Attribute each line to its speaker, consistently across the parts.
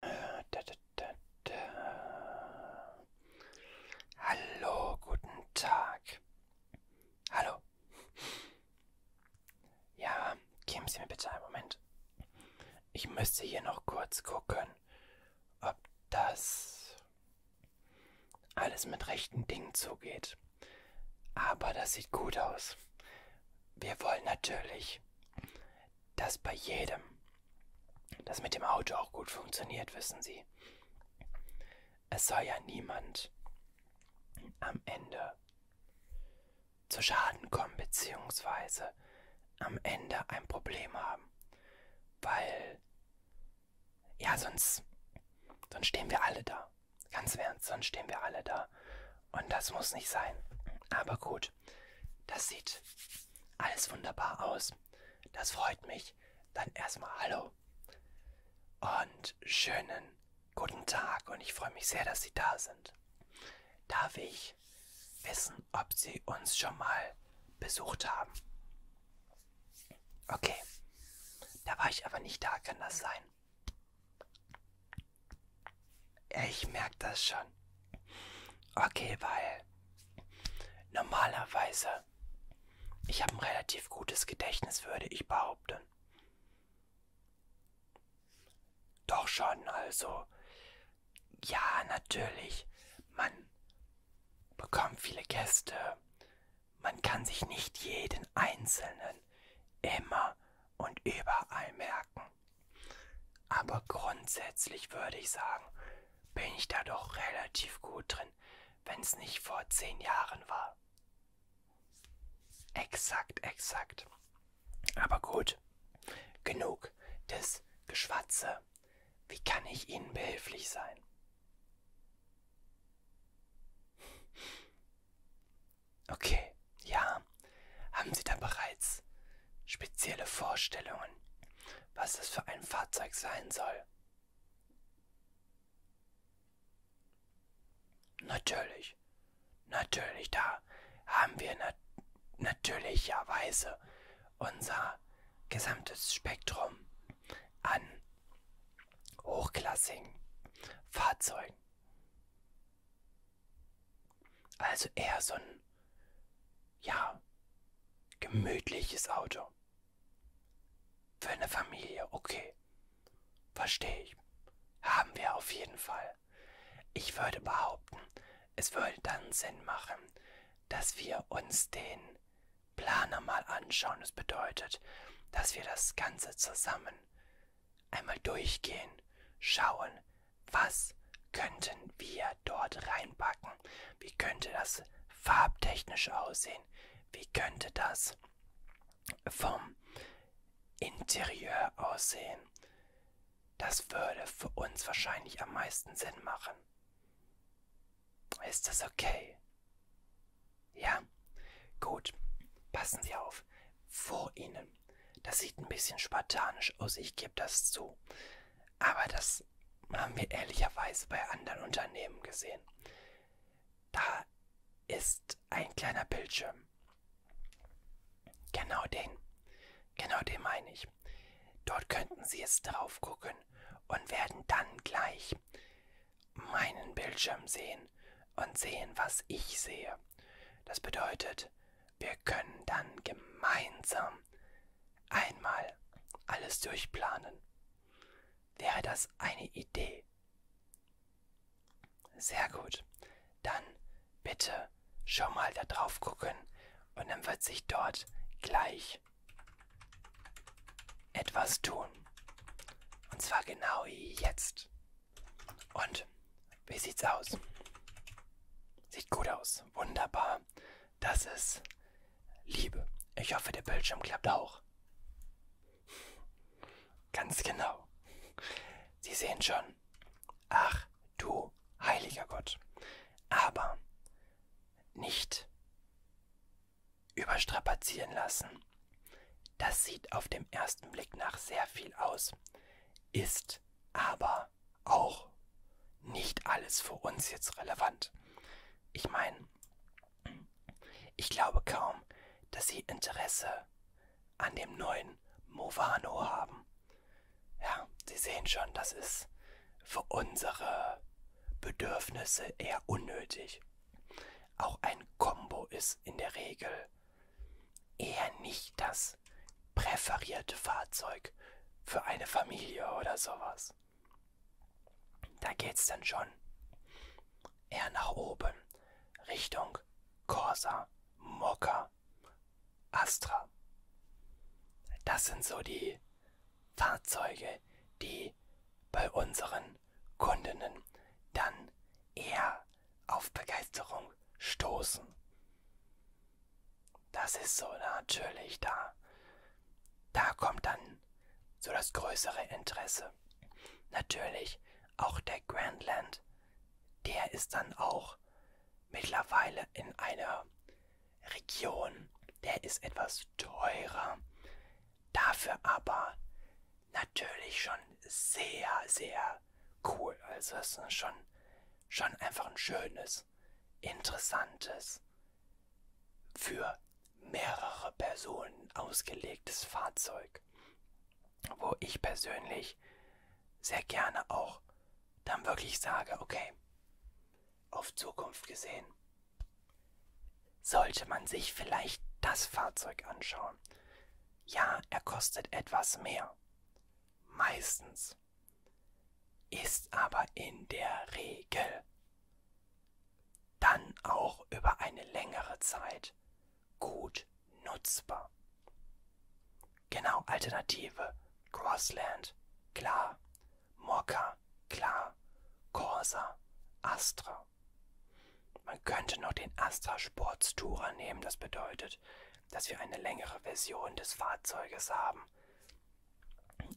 Speaker 1: Da, da, da, da. Hallo, guten Tag. Hallo. Ja, geben Sie mir bitte einen Moment. Ich müsste hier noch kurz gucken, ob das alles mit rechten Dingen zugeht. Aber das sieht gut aus. Wir wollen natürlich dass bei jedem das mit dem Auto auch gut funktioniert, wissen Sie. Es soll ja niemand am Ende zu Schaden kommen, beziehungsweise am Ende ein Problem haben. Weil, ja, sonst, sonst stehen wir alle da. Ganz ernst, sonst stehen wir alle da. Und das muss nicht sein. Aber gut, gut. Das sieht alles wunderbar aus. Das freut mich. Dann erstmal Hallo und schönen guten Tag. Und ich freue mich sehr, dass Sie da sind. Darf ich wissen, ob Sie uns schon mal besucht haben? Okay. Da war ich aber nicht da, kann das sein? Ich merke das schon. Okay, weil normalerweise ich habe ein relativ gutes Gedächtnis, würde ich behaupten. Doch schon, also ja, natürlich. Man bekommt viele Gäste. Man kann sich nicht jeden einzelnen immer und überall merken. Aber grundsätzlich würde ich sagen, bin ich da doch relativ gut drin, wenn es nicht vor zehn Jahren war. Exakt, exakt. Aber gut, genug des Geschwatze. Wie kann ich Ihnen behilflich sein? Okay, ja. Haben Sie da bereits spezielle Vorstellungen, was das für ein Fahrzeug sein soll? Natürlich, natürlich, da haben wir nat natürlicherweise unser gesamtes Spektrum an hochklassigen Fahrzeugen. Also eher so ein, ja, gemütliches Auto. Für eine Familie, okay. Verstehe ich. Haben wir auf jeden Fall. Ich würde behaupten, es würde dann Sinn machen, dass wir uns den Planer mal anschauen. Das bedeutet, dass wir das Ganze zusammen einmal durchgehen, schauen, was könnten wir dort reinpacken? Wie könnte das farbtechnisch aussehen? Wie könnte das vom Interieur aussehen? Das würde für uns wahrscheinlich am meisten Sinn machen. Ist das okay? Ja? Gut. Passen Sie auf. Vor Ihnen. Das sieht ein bisschen spartanisch aus, ich gebe das zu. Aber das haben wir ehrlicherweise bei anderen Unternehmen gesehen. Da ist ein kleiner Bildschirm. Genau den. Genau den meine ich. Dort könnten Sie jetzt drauf gucken und werden dann gleich meinen Bildschirm sehen und sehen, was ich sehe. Das bedeutet, wir können dann gemeinsam einmal alles durchplanen. Wäre das eine Idee? Sehr gut. Dann bitte schon mal da drauf gucken und dann wird sich dort gleich etwas tun. Und zwar genau jetzt. Und wie sieht's aus? Sieht gut aus. Wunderbar ja, das ist Liebe. Ich hoffe, der Bildschirm klappt auch. Ganz genau. Sie sehen schon. Ach, du heiliger Gott. Aber nicht überstrapazieren lassen. Das sieht auf dem ersten Blick nach sehr viel aus, ist aber aber auch nicht alles für uns jetzt relevant. Ich meine, ich glaube kaum, dass sie Interesse an dem neuen Movano haben. Ja, Sie sehen schon, das ist für unsere Bedürfnisse eher unnötig. Auch ein Combo ist in der Regel eher nicht das das präferierte Fahrzeug für eine Familie oder sowas. Da geht's dann schon eher nach oben, Richtung Corsa, Mokka, Astra. Das sind so die Fahrzeuge, die bei unseren Kundinnen dann eher auf Begeisterung stoßen. Das ist so natürlich da. Da kommt dann so das größere Interesse. Natürlich auch der Grandland, der ist dann auch mittlerweile in einer Region, der ist etwas teurer, dafür aber natürlich schon sehr, sehr cool. Also es ist schon, schon einfach ein schönes Spannendes, Interessantes, für mehrere Personen ausgelegtes Fahrzeug, wo ich persönlich sehr gerne auch dann wirklich sage, okay, auf Zukunft gesehen, sollte man sich vielleicht das Fahrzeug anschauen. Ja, er kostet etwas mehr. Meistens ist aber in der Regel dann auch über eine längere Zeit gut nutzbar. Genau, Alternative, Grassland, klar, Mokka, klar, Corsa, Astra. Man könnte noch den Astra Sportstourer nehmen, das bedeutet, dass wir eine längere Version des Fahrzeuges haben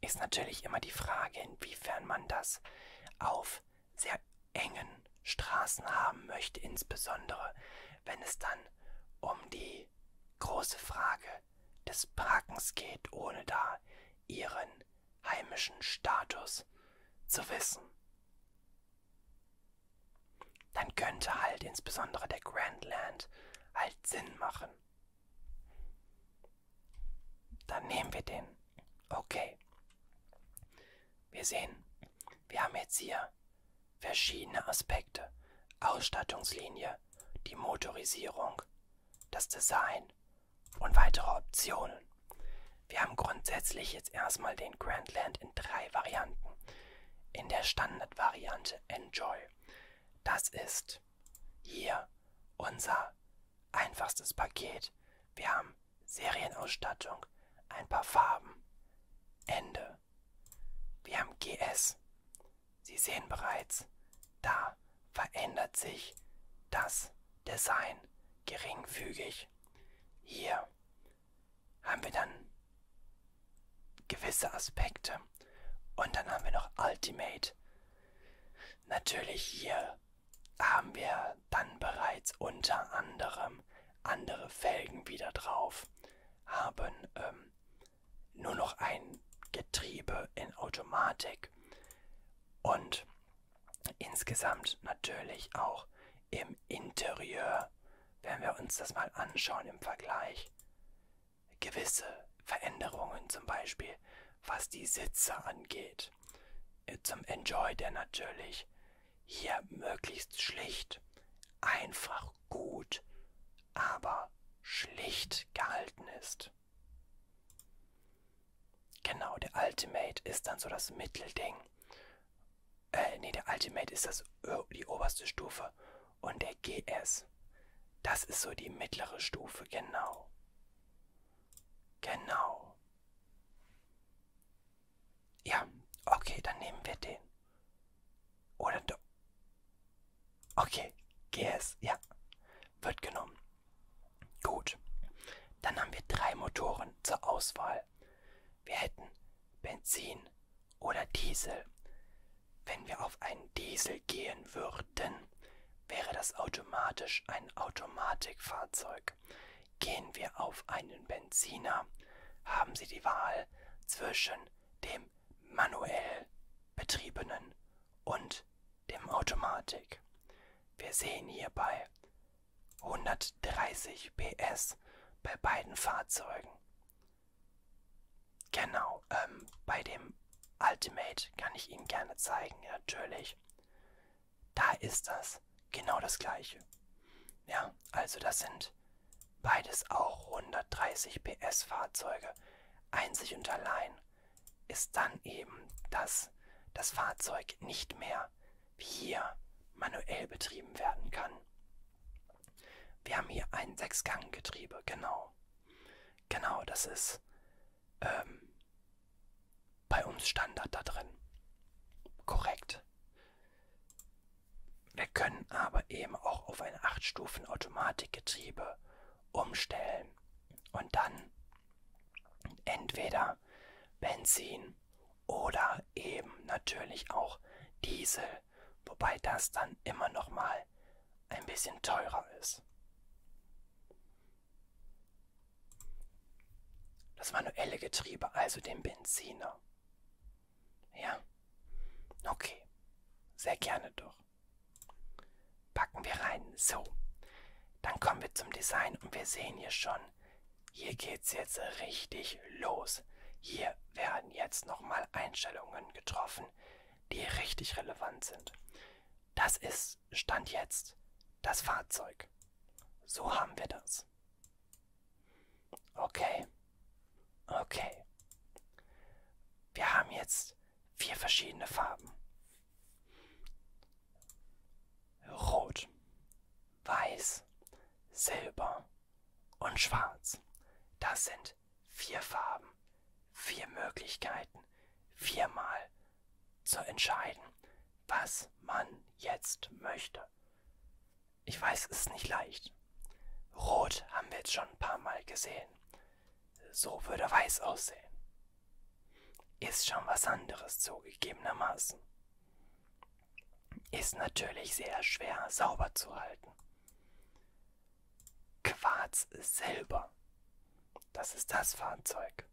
Speaker 1: ist natürlich immer die Frage, inwiefern man das auf sehr engen Straßen haben möchte, insbesondere wenn es dann um die große Frage des Parkens geht, ohne da ihren heimischen Status zu wissen. Dann könnte halt insbesondere der Grandland halt Sinn machen anderen. Dann nehmen wir den. Okay. Wir sehen, wir haben jetzt hier verschiedene Aspekte. Ausstattungslinie, die Motorisierung, das Design und weitere Optionen. Wir haben grundsätzlich jetzt erstmal den Grandland in drei Varianten. In der Standardvariante Enjoy das ist hier unser einfachstes Paket. Wir haben Serienausstattung, ein paar Farben, Ende. Wir haben GS. Sie sehen bereits, da verändert sich das Design geringfügig. Hier haben wir dann gewisse Aspekte. Und dann haben wir noch Ultimate. Natürlich hier haben wir dann bereits unter anderem andere Felgen wieder drauf, haben ähm, nur noch ein Getriebe in Automatik und insgesamt natürlich auch im Interieur, wenn wir uns das mal anschauen im Vergleich, gewisse Veränderungen, zum Beispiel was die Sitze angeht. Äh, zum Enjoy, der natürlich hier möglichst schlicht, einfach gut, aber schlicht gehalten ist. Genau, der Ultimate ist dann so das Mittelding. Äh, nee, der Ultimate ist das, äh, die oberste Stufe und der GS. Das ist so die mittlere Stufe, genau. Genau. Ja, okay, dann nehmen wir den. Oder doch. Okay, GS, ja. Wird genommen. Gut. Dann haben wir drei Motoren zur Auswahl. Wir hätten Benzin, oder Diesel. Wenn wir auf einen Diesel gehen würden, wäre das automatisch ein Automatikfahrzeug. Gehen wir auf einen Benziner, haben Sie die Wahl zwischen dem manuell betriebenen und dem Automatik. Wir sehen hierbei 130 PS bei beiden Fahrzeugen. Genau, ähm, bei dem Ultimate kann ich Ihnen gerne zeigen, natürlich. Da ist das genau das gleiche. Ja, also das sind beides auch 130 PS Fahrzeuge. Einzig und allein ist dann eben, dass das Fahrzeug nicht mehr wie hier manuell betrieben werden kann. Wir haben hier ein Sechsganggetriebe, genau. Genau, das ist ähm, bei uns Standard da drin. Korrekt. Wir können aber eben auch auf ein 8-Stufen-Automatikgetriebe umstellen und dann entweder Benzin oder eben natürlich auch Diesel mal, wobei das dann immer noch mal ein bisschen teurer ist. Das manuelle Getriebe, also den Benziner. Ja? Okay. Sehr gerne doch. Packen wir rein. So. Dann kommen wir zum Design und wir sehen hier schon, hier geht's jetzt richtig los. Hier werden jetzt nochmal Einstellungen getroffen, die richtig relevant sind. Das ist Stand jetzt das Fahrzeug. So haben wir das. Okay. Okay. Wir haben jetzt vier verschiedene Farben. Rot, Weiß, Silber und Schwarz. Das sind vier Farben, vier Möglichkeiten, viermal zu entscheiden, was man jetzt möchte. Ich weiß, es ist nicht leicht. Rot haben wir jetzt schon ein paar Mal gesehen. So würde weiß aussehen. Ist schon was anderes zugegebenermaßen. Ist natürlich sehr schwer sauber zu halten. Quarz Silber. Das ist das Fahrzeug.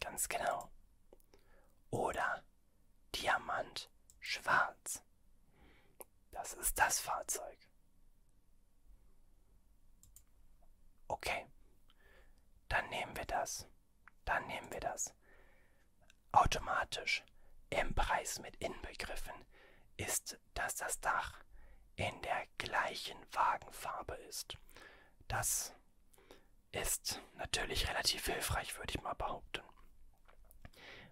Speaker 1: Ganz genau. Oder Diamant Schwarz. Das ist das Fahrzeug. Okay. Dann nehmen wir das. Dann nehmen wir das. Automatisch im Preis mit inbegriffen ist, dass das Dach in der gleichen Wagenfarbe ist. Das ist natürlich relativ hilfreich, würde ich mal behaupten.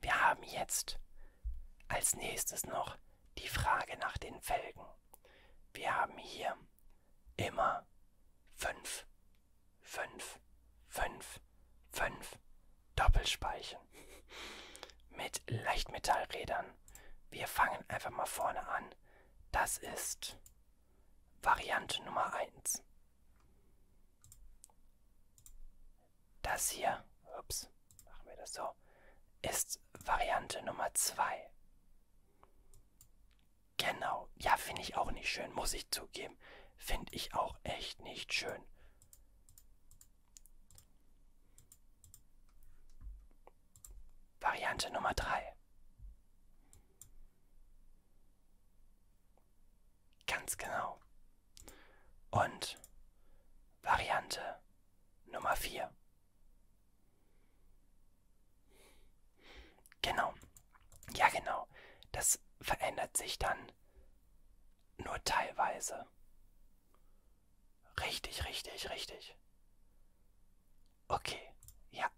Speaker 1: Wir haben jetzt als nächstes noch die Frage nach den Felgen. Wir haben hier immer 5, 5, 5, 5, Doppelspeichen mit Leichtmetallrädern. Wir fangen einfach mal vorne an. Das ist Variante Nummer 1. Das hier, ups, machen wir das so, ist Variante Nummer 2. Genau, ja, finde ich auch nicht schön, muss ich zugeben. Finde ich auch echt nicht schön. Variante Nummer drei. Ganz genau. Und Variante Nummer vier. Genau. Ja, genau. Das verändert sich dann nur teilweise. Richtig, richtig, richtig. Okay, ja.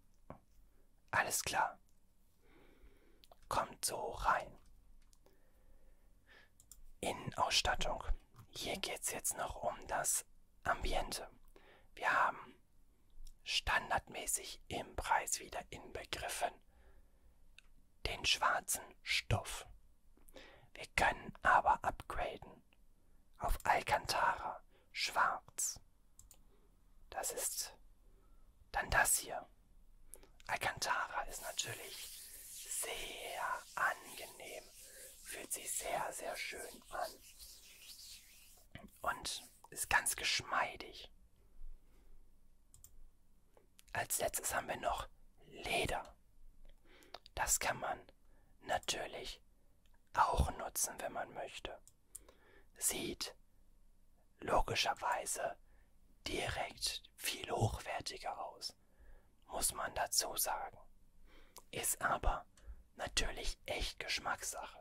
Speaker 1: Alles klar. Kommt so rein. Innenausstattung. Hier geht es jetzt noch um das Ambiente. Wir haben standardmäßig im Preis wieder inbegriffen den schwarzen Stoff. Wir können aber upgraden auf Alcantara schwarz. Das ist dann das hier. Alcantara ist natürlich sehr angenehm, fühlt sich sehr, sehr schön an und ist ganz geschmeidig als letztes haben wir noch Leder. Das kann man natürlich auch nutzen, wenn man möchte. Sieht logischerweise direkt viel hochwertiger aus, muss man dazu sagen. Ist aber natürlich echt Geschmackssache.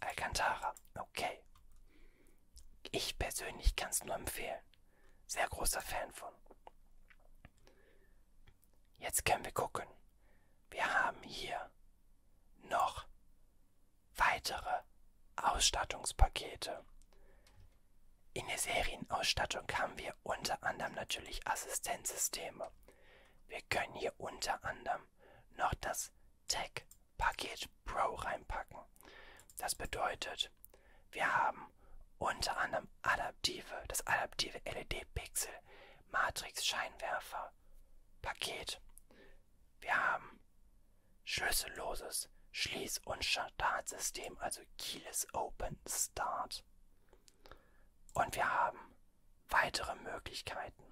Speaker 1: Alcantara, okay. Ich persönlich kann es nur empfehlen. Sehr großer Fan von. Jetzt können wir gucken. Wir haben hier noch weitere Ausstattungspakete. In der Serienausstattung haben wir unter anderem natürlich Assistenzsysteme. Wir können hier unter anderem noch das Tech Paket Pro reinpacken. Das bedeutet, wir haben unter anderem adaptive, das adaptive LED-Pixel, Matrix-Scheinwerfer, Paket. Wir haben schlüsselloses Schließ- und Startsystem, also Keyless Open Start. Und wir haben weitere Möglichkeiten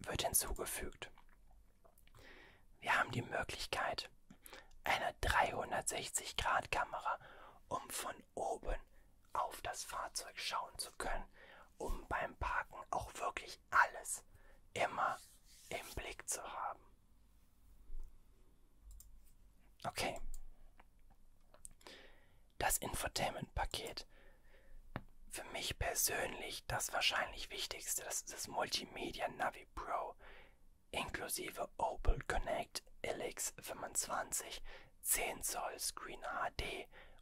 Speaker 1: wird hinzugefügt. Wir haben die Möglichkeit, eine 360-Grad-Kamera, um von oben auf das Fahrzeug schauen zu können, um beim Parken auch wirklich alles immer im Blick zu haben. Okay. Das Infotainment-Paket für mich persönlich das wahrscheinlich wichtigste, das ist das Multimedia Navi Pro inklusive Opel Connect LX25, 10 Zoll Screen HD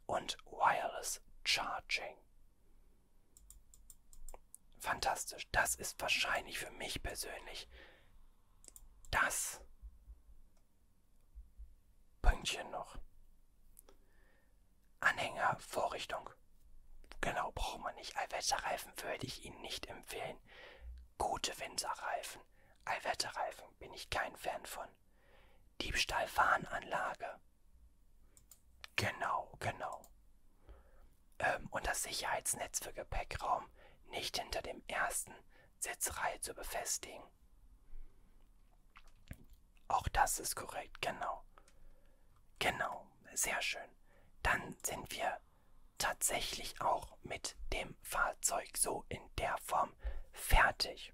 Speaker 1: und Wireless Charging. Fantastisch, das ist wahrscheinlich für mich persönlich das Pünktchen noch. Anhängervorrichtung. Genau, braucht man nicht. Allwetterreifen würde ich Ihnen nicht empfehlen. Gute Winterreifen. Allwetterreifen bin ich kein Fan von. Diebstahlfahrenanlage. Genau, genau. Ähm, und das Sicherheitsnetz für Gepäckraum nicht hinter dem ersten Sitzreihe zu befestigen. Auch das ist korrekt, genau. Genau, sehr schön. Dann sind wir tatsächlich auch mit dem Fahrzeug so in der Form fertig.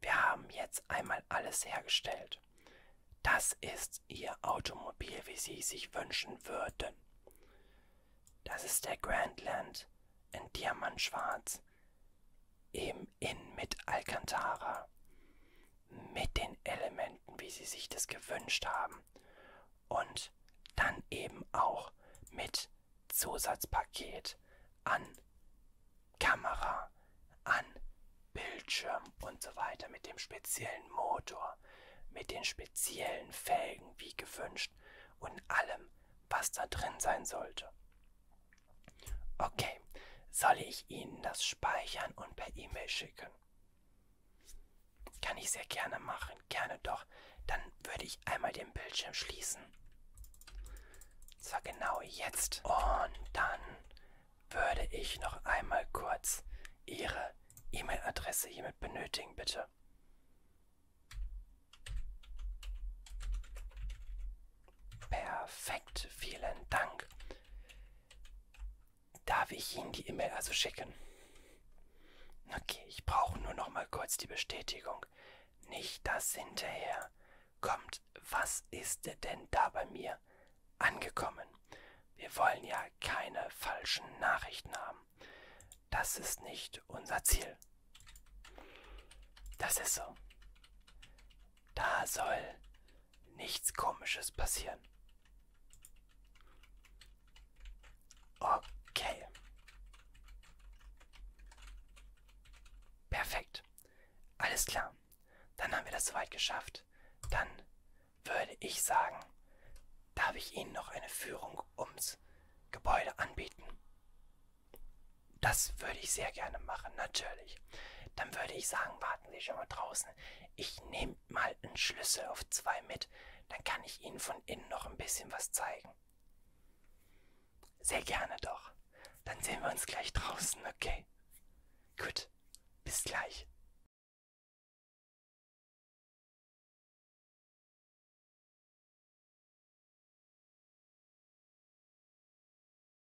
Speaker 1: Wir haben jetzt einmal alles hergestellt. Das ist Ihr Automobil, wie Sie sich wünschen würden. Das ist der Grandland in Diamantschwarz, eben in mit Alcantara, mit den Elementen, wie sie sich das gewünscht haben und dann eben auch mit Zusatzpaket an Kamera, an Bildschirm und so weiter, mit dem speziellen Motor, mit den speziellen Felgen wie gewünscht und allem, was da drin sein sollte. Okay, soll ich Ihnen das speichern und per E-Mail schicken? Kann ich sehr gerne machen, gerne doch. Dann würde ich einmal den Bildschirm schließen. Zwar genau jetzt. Und dann würde ich noch einmal kurz Ihre E-Mail-Adresse hiermit benötigen, bitte. Perfekt, vielen Dank. Darf ich Ihnen die E-Mail also schicken? Okay, ich brauche nur noch mal kurz die Bestätigung. Nicht das hinterher. Kommt, was ist denn da bei mir angekommen? Wir wollen ja keine falschen Nachrichten haben. Das ist nicht unser Ziel. Das ist so. Da soll nichts Komisches passieren. Okay. Perfekt. Alles klar. Dann haben wir das soweit geschafft. Dann würde ich sagen, darf ich Ihnen noch eine Führung ums Gebäude anbieten. Das würde ich sehr gerne machen, natürlich. Dann würde ich sagen, warten Sie schon mal draußen. Ich nehme mal einen Schlüssel auf zwei mit. Dann kann ich Ihnen von innen noch ein bisschen was zeigen. Sehr gerne doch. Dann sehen wir uns gleich draußen, okay? Gut, bis gleich.